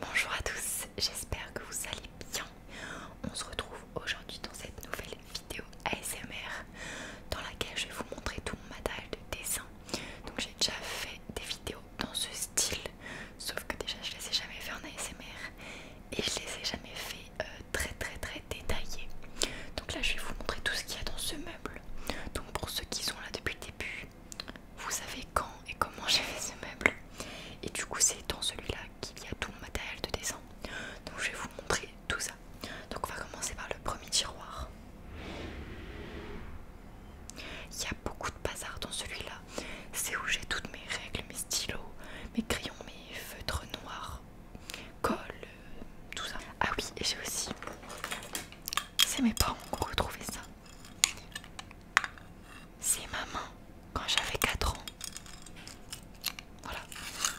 Bonjour à tous, j'espère que vous allez bien. On se retrouve aujourd'hui dans cette nouvelle vidéo ASMR dans laquelle je vais vous montrer tout mon matériel de dessin. Donc j'ai déjà fait des vidéos dans ce style, sauf que déjà je les ai jamais fait en ASMR et je les ai jamais fait euh, très très très détaillées. Donc là je vais vous montrer tout ce qu'il y a dans ce meuble. Donc pour ceux qui sont là depuis le début, vous savez quand et comment j'ai fait ce meuble et du coup c'est dans celui-là qu'il y a tout mon matériel de dessin donc je vais vous montrer tout ça donc on va commencer par le premier tiroir il y a beaucoup de bazar dans celui-là c'est où j'ai toutes mes règles, mes stylos, mes crayons, mes feutres noirs colle, euh, tout ça. Ah oui, et j'ai aussi. C'est mes parents qui ont ça. C'est maman, quand j'avais 4 ans. Voilà.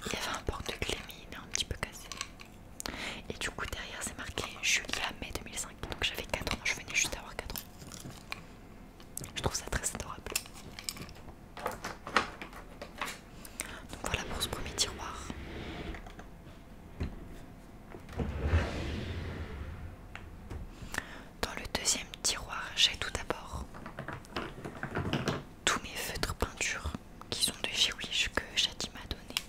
Il y avait un porte-clés il est un petit peu cassé. Et du coup derrière c'est marqué Julia mai 2005. Donc j'avais 4 ans, je venais juste d'avoir 4 ans. Je trouve ça très adorable. Donc voilà pour ce premier tiroir. Dans le deuxième tiroir, j'ai tout d'abord tous mes feutres peinture qui sont de chez Wish que Shadi m'a donné.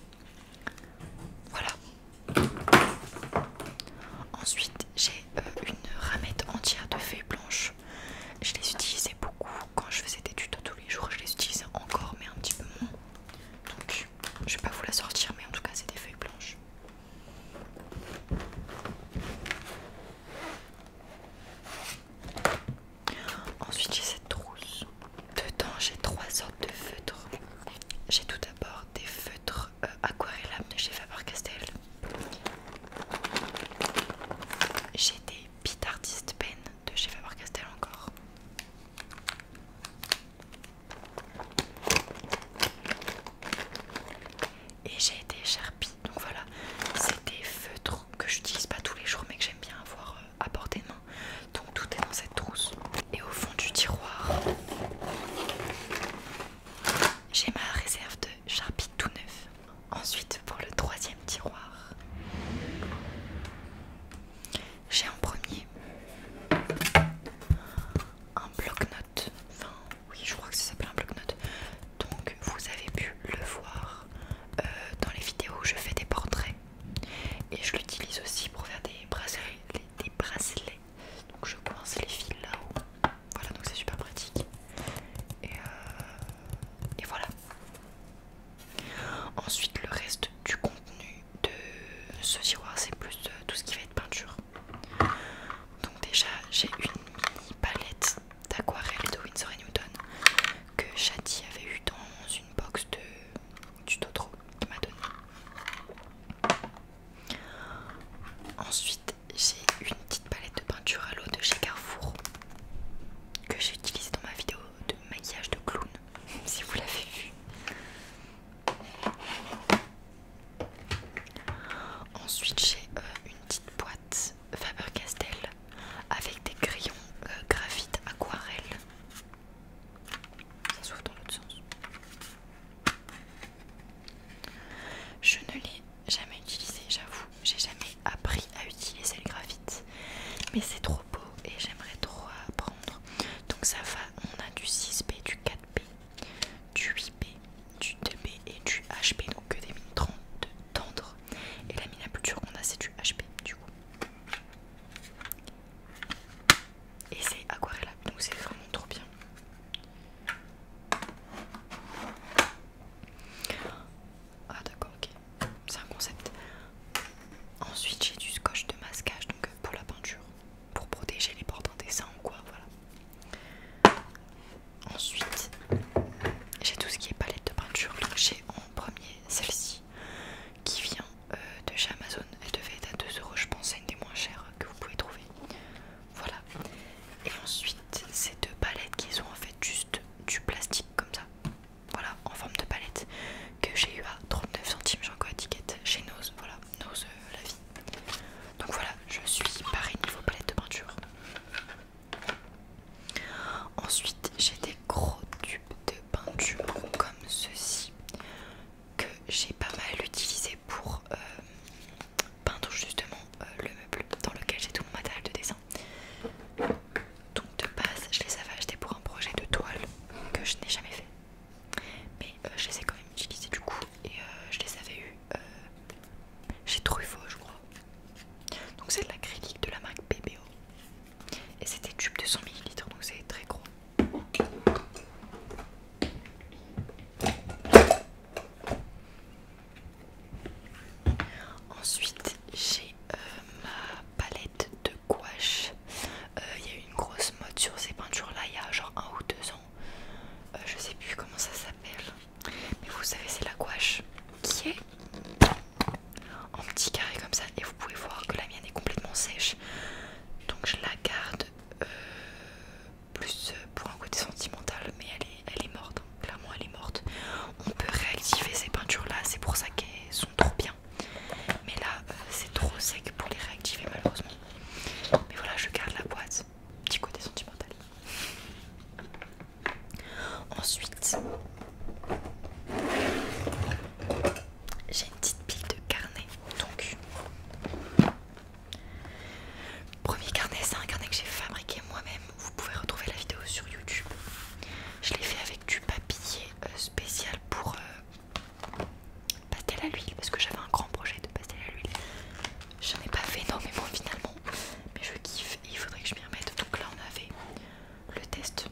Voilà. Ensuite, j'ai euh, une ramette entière de feuilles blanches. Je les utilisais beaucoup quand je faisais des tutos tous les jours. Je les utilisais encore, mais un petit peu moins. Donc, je vais pas vous la sortir, mais en tout cas, c'est des feuilles blanches. Ensuite j'ai cette trousse. Dedans j'ai trois sortes de feutres. J'ai tout d'abord des feutres euh, aquarellables de chez Faber-Castell. J'ai des Pit Artist Pen de chez Faber-Castell encore. Et j'ai des Sharpie, donc voilà, c'est des feutres que j'utilise pas tous les jours mais que j'aime bien avoir euh, à portée de main. Donc tout est dans cette trousse. Et au fond du tiroir, j'ai ma réserve de Sharpie tout neuf. Ensuite, pour le troisième tiroir, j'ai en premier un bloc-notes Enfin, oui, je crois que ça s'appelle un bloc-notes. Donc, vous avez pu le voir euh, dans les vidéos où je fais des portraits. Et je l'utilise aussi pour faire des bracelets, des Donc, je coince les fils là-haut. Voilà, donc c'est super pratique. Et, euh, et voilà. Ensuite, le reste du contenu de ce tiroir, c'est plus de euh, tout ce qui va être peinture. Donc déjà j'ai une mini palette d'aquarelle de Winsor Newton que Chatty avait eu dans une box de, du qui m'a donné. Ensuite j'ai une petite palette de peinture à l'eau de chez Carrefour que j'ai utilisée dans ma vidéo de maquillage de clown si vous l'avez vu. Ensuite j'ai euh, une petite boîte Faber-Castell avec des crayons euh, graphite aquarelle. Ça s'ouvre dans l'autre sens. Je ne l'ai jamais utilisé, j'avoue. J'ai jamais appris à utiliser le graphite. Mais c'est trop beau et j'aimerais trop apprendre. Donc ça va, on a du 6B, du 4B, du 8B, du 2B et du HP, donc que des mines 30 tendres. Et la mine plus dure qu'on a, c'est du HP, du coup. Et c'est aquarella, donc c'est vraiment trop bien. Ah d'accord, ok, c'est un concept. Ensuite j'ai du scotch de masquage donc euh, pour la peinture pour protéger les portes en dessin ou quoi, voilà. Ensuite, j'ai tout ce qui est palette de peinture. là, j'ai en premier celle-ci qui vient euh, de chez Amazon. Elle devait être à 2€ je pense, c'est une des moins chères que vous pouvez trouver. Voilà. Et ensuite, ces deux palettes qui sont en fait juste du plastique comme ça. Voilà, en forme de palette que j'ai eu à 39 centimes, j'ai encore étiquette chez Nose. Voilà, Nose euh, la vie. Donc voilà, je suis parée niveau palette de peinture. Ensuite, j'ai des gros tubes de peinture comme ceci que j'ai pas mal utilisé pour euh, peindre justement euh, le meuble dans lequel j'ai tout mon matériel de dessin. Donc de base, je les avais achetés pour un projet de toile que je n'ai jamais fait mais euh, je les ai quand même utilisés du coup et euh, je les avais eu j'ai euh, chez Truffaut je crois donc c'est de l'acrylique de la marque BBO et c'était tube de 100 ml donc c'est très gros Ensuite, j'ai ma palette de gouache. Il y a eu une grosse mode sur ces peintures là il y a genre un ou deux ans. Euh, je sais plus comment ça s'appelle, mais vous savez, c'est la gouache qui est en petit carré comme ça, et vous pouvez voir que la mienne est complètement sèche, donc je la garde euh, plus euh, pour un côté sentimental, mais elle est, elle est morte, clairement elle est morte. On peut réactiver ces peintures là, c'est pour ça qu'elles sont trop bien, mais là c'est trop sec pour les réactiver malheureusement. Mais voilà, je garde la boîte Petit côté sentimental. Ensuite, j'ai une petite pile de carnets. Donc, premier carnet, c'est un carnet que j'ai fabriqué moi-même. Vous pouvez retrouver la vidéo sur YouTube. Je l'ai fait avec du papier euh, spécial pour euh, pastel à l'huile parce que j'avais un grand projet de pastel à l'huile. J'en ai pas fait énormément finalement, mais je kiffe et il faudrait que je m'y remette. Donc là, on avait le test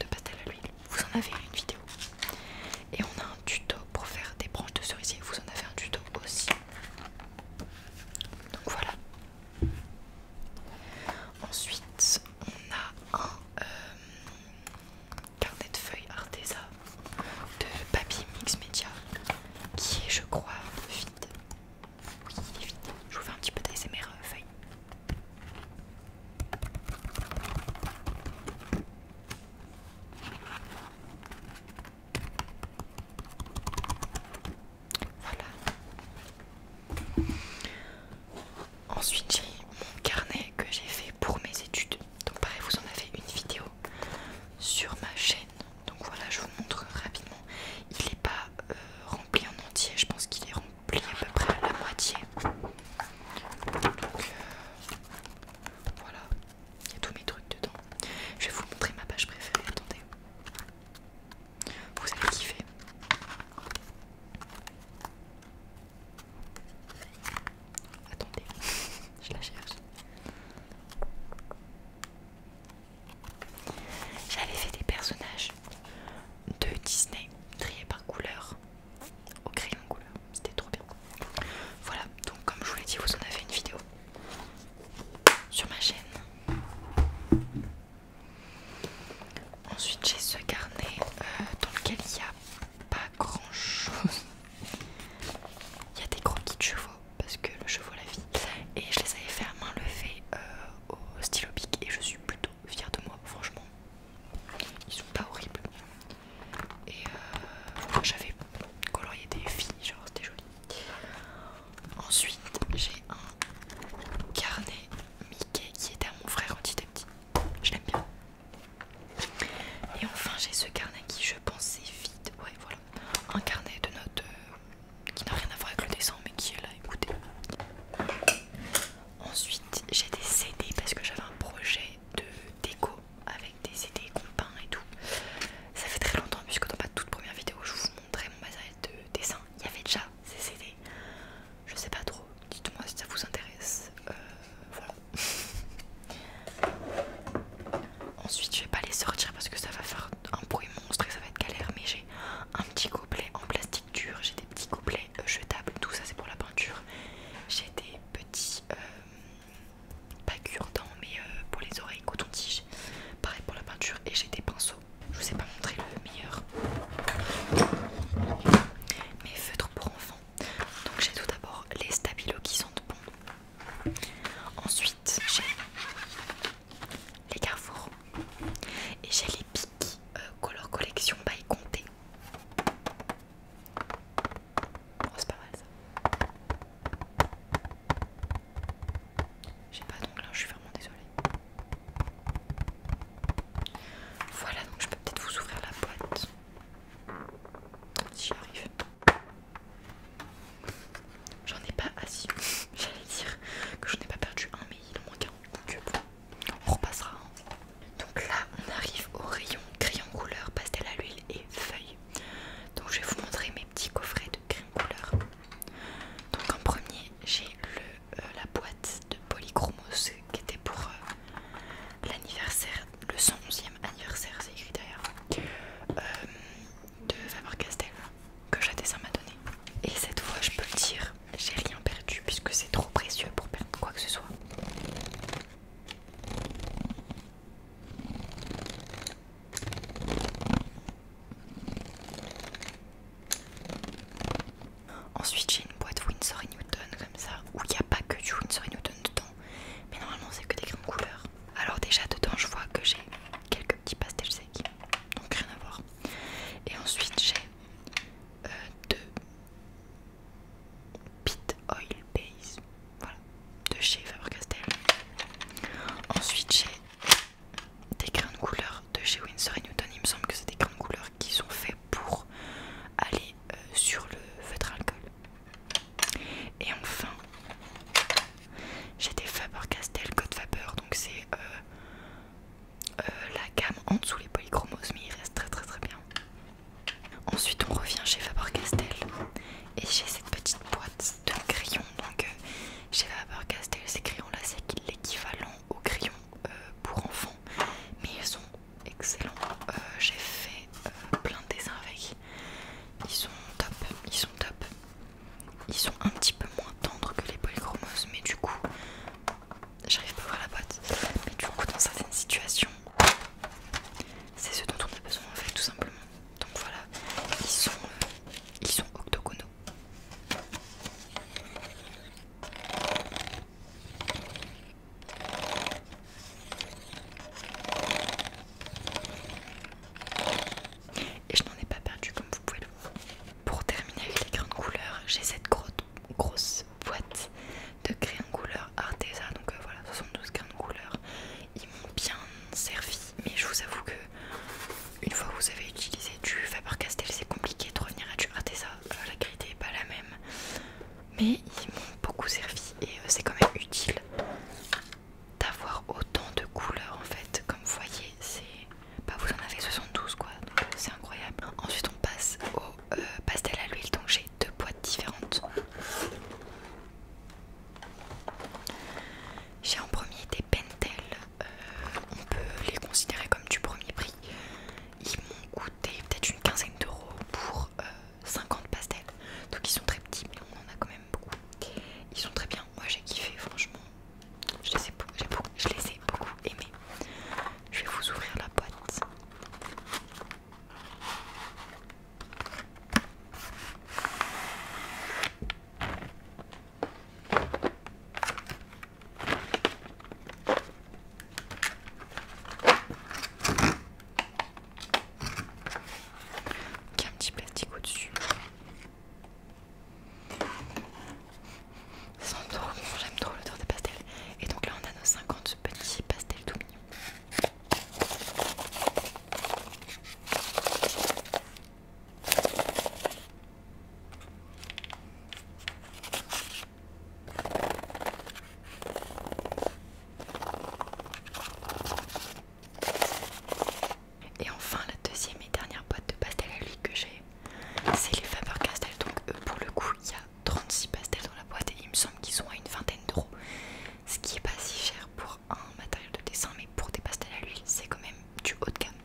de pastel à l'huile, vous en avez une vidéo, et on a un tuto pour faire des branches de cerisier, vous en avez un tuto aussi. Donc voilà. Ensuite, on a un euh, carnet de feuilles Arteza de Papi Mix Media qui est je crois vide. Oui il est vide. Je vous fais un petit peu d'ASMR euh, feuille. Voilà. Ensuite j'ai mon carnet que j'ai fait pour mes études. Donc pareil vous en avez une vidéo sur ma chaîne. Donc voilà, je vous montre rapidement. Il est pas euh, rempli en entier, je pense qu'il est rempli à peu près à la moitié. Donc euh, voilà, il y a tous mes trucs dedans. Je vais vous montrer ma page préférée, attendez. Vous allez kiffer. Attendez, je la cherche. J'avais fait des personnages de Disney triés par couleur au crayon couleur, c'était trop bien. Voilà, donc comme je vous l'ai dit, vous en avez une vidéo sur ma chaîne. Ensuite, j'ai ce carnet euh, dans lequel il n'y a pas grand chose. Il y a des croquis de chevaux parce que le chevaux la vie. Et je les avais fait à main levée euh, au stylo bic et je suis plutôt fière de moi, franchement. Ils sont pas horribles. Et euh, j'avais colorié des filles, genre c'était joli. Ensuite, j'ai un carnet Mickey qui était à mon frère quand il petit. Je l'aime bien. Et enfin, j'ai ce carnet qui, je pensais vide. Ouais, voilà. Un carnet de notes euh, qui n'a rien à voir avec le dessin, mais qui est là, écoutez. Ensuite, j'ai des CD parce que j'avais un projet de déco avec des CD qu'on et tout. Ça fait très longtemps, puisque dans ma toute première vidéo, je vous montrais mon bazar de dessin. Il y avait déjà ces CD. Je sais pas trop, dites-moi si ça vous intéresse. Euh, voilà, Ensuite, je vais pas les sortir parce que ça va faire un bruit monstre et ça va être galère. Mais j'ai un petit couplet en plastique dur, j'ai des petits couplets euh, jetables, tout ça c'est pour la peinture. J'ai des petits, euh, pas cure-dents, mais euh, pour les oreilles, coton-tige, pareil pour la peinture. Et j'ai des pinceaux, je vous ai pas montré le meilleur. Mes feutres pour enfants. Donc j'ai tout d'abord les stabilos qui sentent bon. Ensuite, j'ai les carrefours et j'ai les piki euh, Color Collection by Comté. Oh, c'est pas mal ça. J'ai pas là, hein, je suis vraiment désolée. Voilà, donc je peux peut-être vous ouvrir la boîte si j'y arrive. J'en ai pas assez, j'allais dire que j'en ai pas perdu un, mais il en manque un. Donc euh, on repassera. Hein. Donc là, on arrive au rayon crayon couleur, pastel à l'huile et feuilles. Donc je vais vous montrer mes petits coffrets de crayon couleur. Donc en premier, j'ai euh, la boîte de polychromos qui était pour euh, l'anniversaire le 111e anniversaire, c'est écrit derrière euh, de Faber-Castell que dessin m'a donné. Et cette fois, je peux le dire, j'ai rien perdu puisque c'est trop précieux pour perdre quoi que ce soit. Ensuite j'ai une boîte Windsor Newton comme ça où il n'y a pas que du Windsor Newton dedans mais normalement c'est que des grains de couleur. Alors déjà dedans je vois que j'ai quelques petits pastels secs, donc rien à voir. Et ensuite j'ai euh, deux Pit Oil Base, voilà, de chez Faber-Castell. Ensuite j'ai des grains de couleur de chez Winsor Newton, il me semble que c'est des grains de couleur qui sont faits pour aller euh, sur le feutre alcool. Et enfin, j'ai des Faber-Castell Code Faber, donc c'est euh, euh, la gamme en dessous les polychromos, mais il reste très très très bien. Ensuite, on revient chez Faber-Castell et j'ai cette petite boîte de crayons. Donc, euh, chez Faber-Castell, ces crayons-là, c'est l'équivalent aux crayons pour enfants, mais ils sont excellents. j'ai fait plein de dessins avec. Ils sont top, ils sont top. Ils sont un petit peu moins tendres que les polychromos, mais du coup, j'arrive pas à voir la boîte. Mais du coup, dans certaines situations, c'est ce dont on a besoin en fait, tout simplement. Donc voilà, ils sont, euh, ils sont octogonaux. Et je n'en ai pas perdu comme vous pouvez le voir. Pour terminer avec les grains de couleur, j'ai cette grosse boîte de grains de couleur Arteza. Donc euh, voilà, 72 grains de couleur. Ils m'ont bien servi, mais je vous avoue que une fois que vous avez utilisé du Faber-Castell, c'est compliqué de revenir à du Arteza. Euh, la qualité n'est pas la même. Mais ils m'ont beaucoup servi et euh, c'est quand même utile d'avoir autant de couleurs en fait. Comme vous voyez, c'est. Bah, vous en avez 72 quoi, donc euh, c'est incroyable. Ensuite, on passe au euh, pastel à l'huile, donc j'ai deux boîtes différentes. J'ai en premier des Pentel, euh, on peut les considérer comme du premier prix. Ils m'ont coûté peut-être une quinzaine d'euros pour 50 pastels. Donc ils sont très petits, mais on en a quand même beaucoup. Ils sont très bien. Moi j'ai kiffé, franchement. Je les ai beaucoup, aimés. Je vais vous ouvrir la boîte a un petit plastique au-dessus. Ça trop bon, j'aime trop l'odeur des pastels. Et donc là, on a nos 50 petits pastels tout mignons. Et enfin, la deuxième et dernière boîte de pastels à l'huile que j'ai, c'est les Faber-Castell. Donc, pour le coup, il y a 36 pastels dans la boîte et il me semble qu'ils sont à une vingtaine d'euros. Ce qui est pas si cher pour un matériel de dessin, mais pour des pastels à l'huile, c'est quand même du haut de gamme.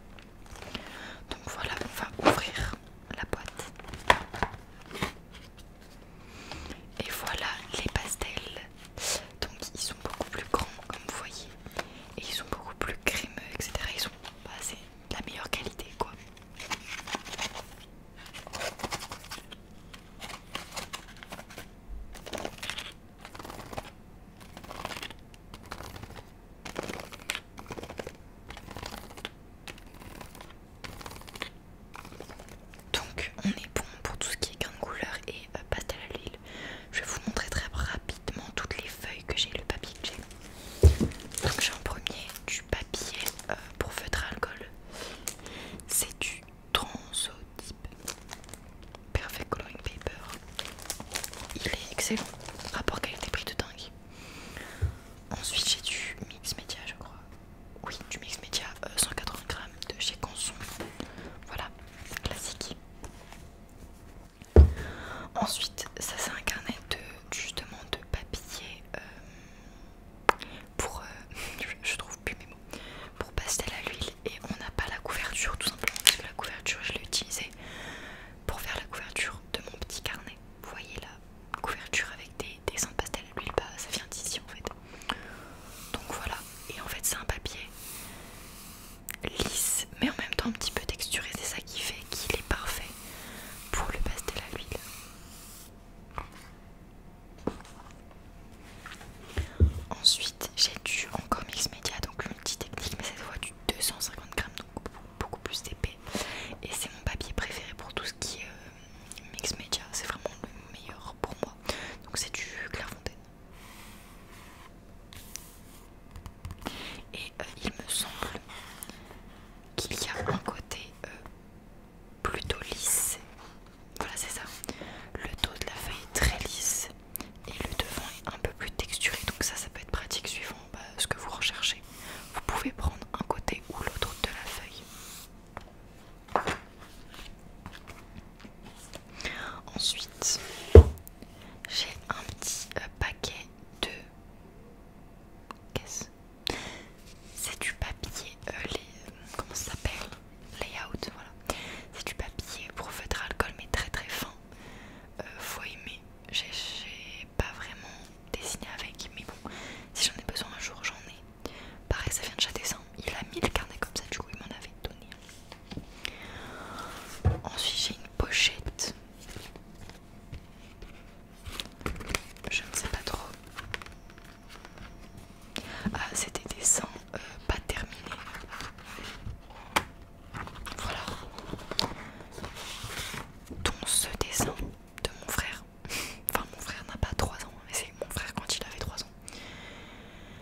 Donc voilà, on va ouvrir la boîte. Et voilà les pastels. Donc ils sont beaucoup plus grands comme vous voyez. Et ils sont beaucoup plus crémeux, etc. Ils sont bah, la meilleure qualité quoi. Donc on est bon pour tout ce qui est grains de couleur et euh, pastel à l'huile. Je vais vous montrer très rapidement toutes les feuilles que j'ai, le papier que j'ai. Donc j'ai en premier du papier euh, pour feutre alcool. C'est du transotype Perfect Coloring Paper. Il est excellent. Rapport qualité-prix de dingue. Ensuite j'ai du mix média je crois. Oui, du mix média 180 euh, grammes de chez Canson, Voilà, classique. Ensuite, ça c'est un carnet de justement de papier euh, pour euh, je trouve plus mes pour pastel à l'huile et on n'a pas la couverture tout simplement parce la couverture je l'ai utilisée pour faire la couverture de mon petit carnet. Vous voyez la couverture avec des dessins de pastel à l'huile, bah, ça vient d'ici en fait. Donc voilà, et en fait c'est un papier lisse mais en même temps un petit peu texturé, c'est ça qui fait qu'il est parfait pour le pastel à l'huile. Ensuite, j'ai du encore Mix Media, donc multi-technique, mais cette fois du 250 grammes, donc beaucoup plus épais. Et c'est mon papier préféré pour tout ce qui est euh, Mix Media, c'est vraiment le meilleur pour moi. Donc c'est du Clairefontaine. Et euh, il me semble qu'il y a un côté euh, plutôt lisse. Voilà, c'est ça. Le dos de la feuille est très lisse et le devant est un peu plus texturé. Donc ça, ça peut être pratique suivant bah, ce que vous recherchez. Vous pouvez prendre un côté ou l'autre de la feuille. Ensuite, j'ai un petit euh, paquet de... Qu'est-ce C'est du papier, euh, les... comment ça s'appelle Layout, voilà. C'est du papier pour feutre à alcool mais très très fin. Euh, faut J'ai pas vraiment dessiné avec, mais bon, si j'en ai besoin un jour, j'en ai. Pareil, ça vient de dessin Il a mis le carnet comme ça, du coup, il m'en avait donné. Ensuite, j'ai une pochette. Je ne sais pas trop. Ah, c'était des dessins euh, pas terminés. Voilà. Dont ce dessin de mon frère. Enfin, mon frère n'a pas 3 ans, mais c'est mon frère quand il avait 3 ans.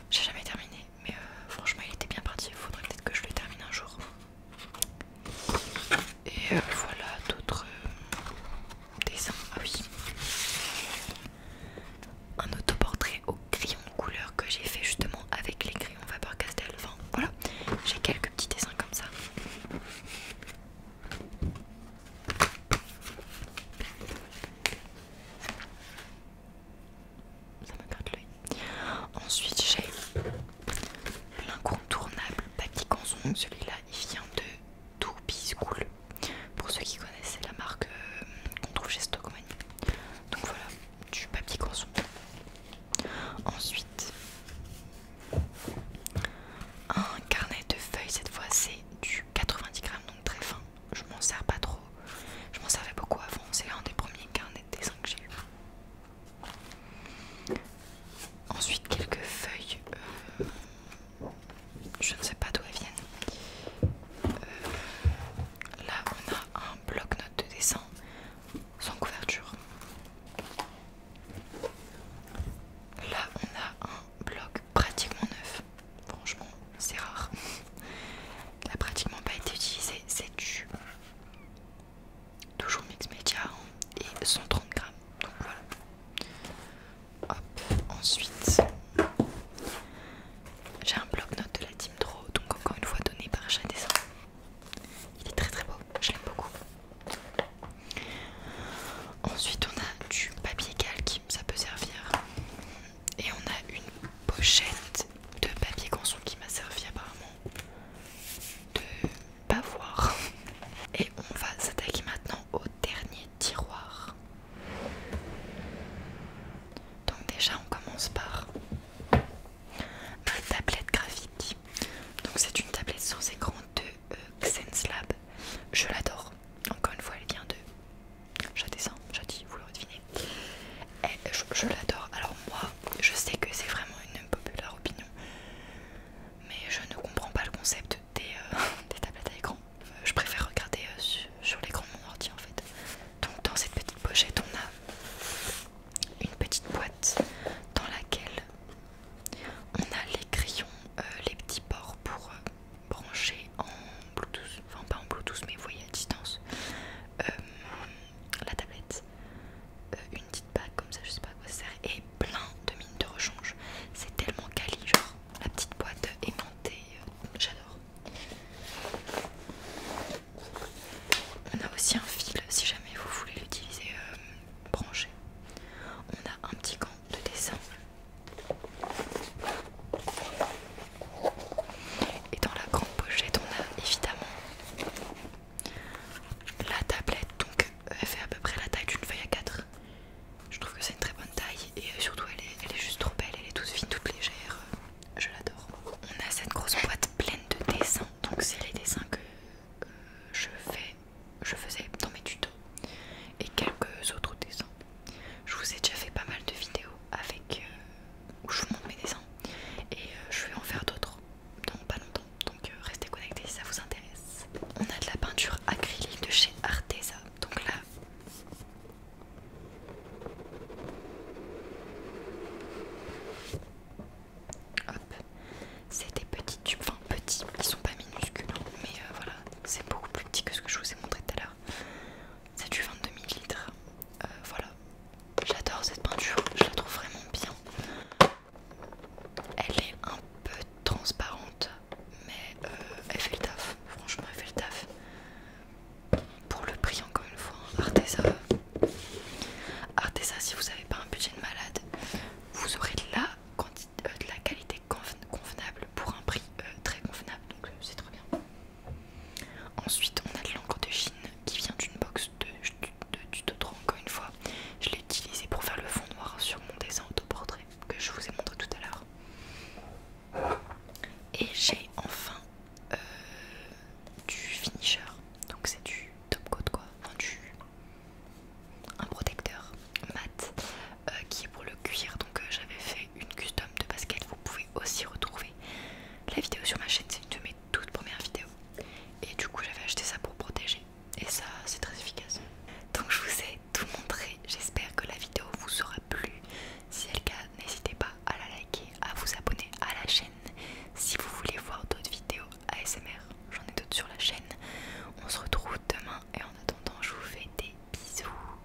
J'ai jamais terminé, mais euh, franchement il était bien parti, il faudrait peut-être que je le termine un jour. Et euh, voilà d'autres euh, dessins. Ah oui. Un autoportrait au crayon couleur que j'ai fait justement avec les crayons Faber le vent. voilà, j'ai quelques petits dessins comme ça ça Ensuite j'ai l'incontournable Papy Canson, celui-là il vient de tout School. Pour ceux qui connaissent, c'est la marque euh, qu'on trouve chez Stockman. Donc voilà, du papier canson. Ensuite, un carnet de feuilles, cette fois c'est du 90 grammes, donc très fin je m'en sers pas trop. Je m'en servais beaucoup avant, c'est l'un des premiers carnets de dessin que j'ai Ensuite, quelques feuilles, euh, je ne sais pas d'où elles viennent. Euh, là, on a un bloc-notes de dessin sans couverture. Là, on a un bloc pratiquement neuf. Franchement, c'est rare. Il n'a pratiquement pas été utilisé. C'est du. Toujours mix média hein, et 130 grammes. Donc voilà. ensuite. J'ai un bloc note de la Team Draw, donc encore une fois donné par Chat Dessin. Il est très très beau, je l'aime beaucoup. Ensuite, on a du papier calque ça peut servir. Et on a une pochette de papier console qui m'a servi apparemment de pas voir. Et on va s'attaquer maintenant au dernier tiroir. Donc déjà on commence par ma tablette graphique. Donc c'est une tablette sans écran de Xenslab. Je l'adore. Encore une fois, elle vient de J'adore. Jadis, vous le devinez. Eh, je, l'adore. Alors, moi, je sais que c'est vraiment une populaire opinion, mais je ne comprends pas le concept des, euh, tablettes à écran. Euh, je préfère regarder euh, sur, l'écran de mon ordi en fait. Donc, dans cette petite pochette, on a une petite boîte dans laquelle on a les crayons, les petits ports pour branché en Bluetooth, enfin pas en Bluetooth mais vous voyez à distance euh, la tablette, euh, une petite bague comme ça, je sais pas à quoi ça sert, et plein de mines de rechange. C'est tellement quali, genre la petite boîte aimantée, euh, j'adore. On a aussi un fil si jamais vous voulez l'utiliser branché. On a un petit gant de dessin et dans la grande pochette, on a évidemment la tablette. Donc, euh, elle fait à peu près la taille d'une feuille à 4. Je trouve que c'est une très bonne taille et euh, surtout, elle est, juste trop belle. Elle est toute fine, toute légère. Euh, je l'adore. On a cette grosse boîte pleine de dessins. Donc, c'est les dessins que je fais, je faisais dans mes tutos et quelques autres dessins. Je vous ai déjà fait pas mal de vidéos avec euh, où je vous montre mes dessins et euh, je vais en faire d'autres dans pas longtemps. Donc euh, restez connectés si ça vous intéresse. On a de la peinture acrylique de chez Arteza. Donc là Hop, c'est des petits tubes, enfin petits, ils sont pas minuscules, hein. mais voilà, c'est beaucoup plus petit que ce que je vous ai montré tout à l'heure. C'est du 22 ml. Euh, voilà. J'adore cette peinture, je la trouve vraiment bien. Elle est un peu transparente, mais euh, elle fait le taf. Franchement, elle fait le taf. Pour le prix, encore une fois, hein. Arteza. Arteza, si vous n'avez pas un budget de malade, vous aurez de la, euh, qualité convenable pour un prix très convenable. Donc, c'est trop bien. Ensuite, on a de l'encre de Chine qui vient d'une box de, tuto 3 encore une fois. Je l'ai utilisé pour faire le fond noir sur mon dessin autoportrait que je vous ai montré tout à l'heure. Et j'ai enfin euh, du finisher, donc c'est du top coat quoi, enfin du un protecteur mat euh, qui est pour le cuir. Donc euh, j'avais fait une custom de basket, vous pouvez aussi retrouver la vidéo sur ma chaîne, c'est une de mes toutes premières vidéos. Et du coup, j'avais acheté ça pour protéger. Et ça, c'est très efficace. Donc, je vous ai tout montré. J'espère que la vidéo vous aura plu. Si elle le cas, n'hésitez pas à la liker, à vous abonner à la chaîne. Si vous voulez voir d'autres vidéos ASMR, j'en ai d'autres sur la chaîne. On se retrouve demain et en attendant, je vous fais des bisous.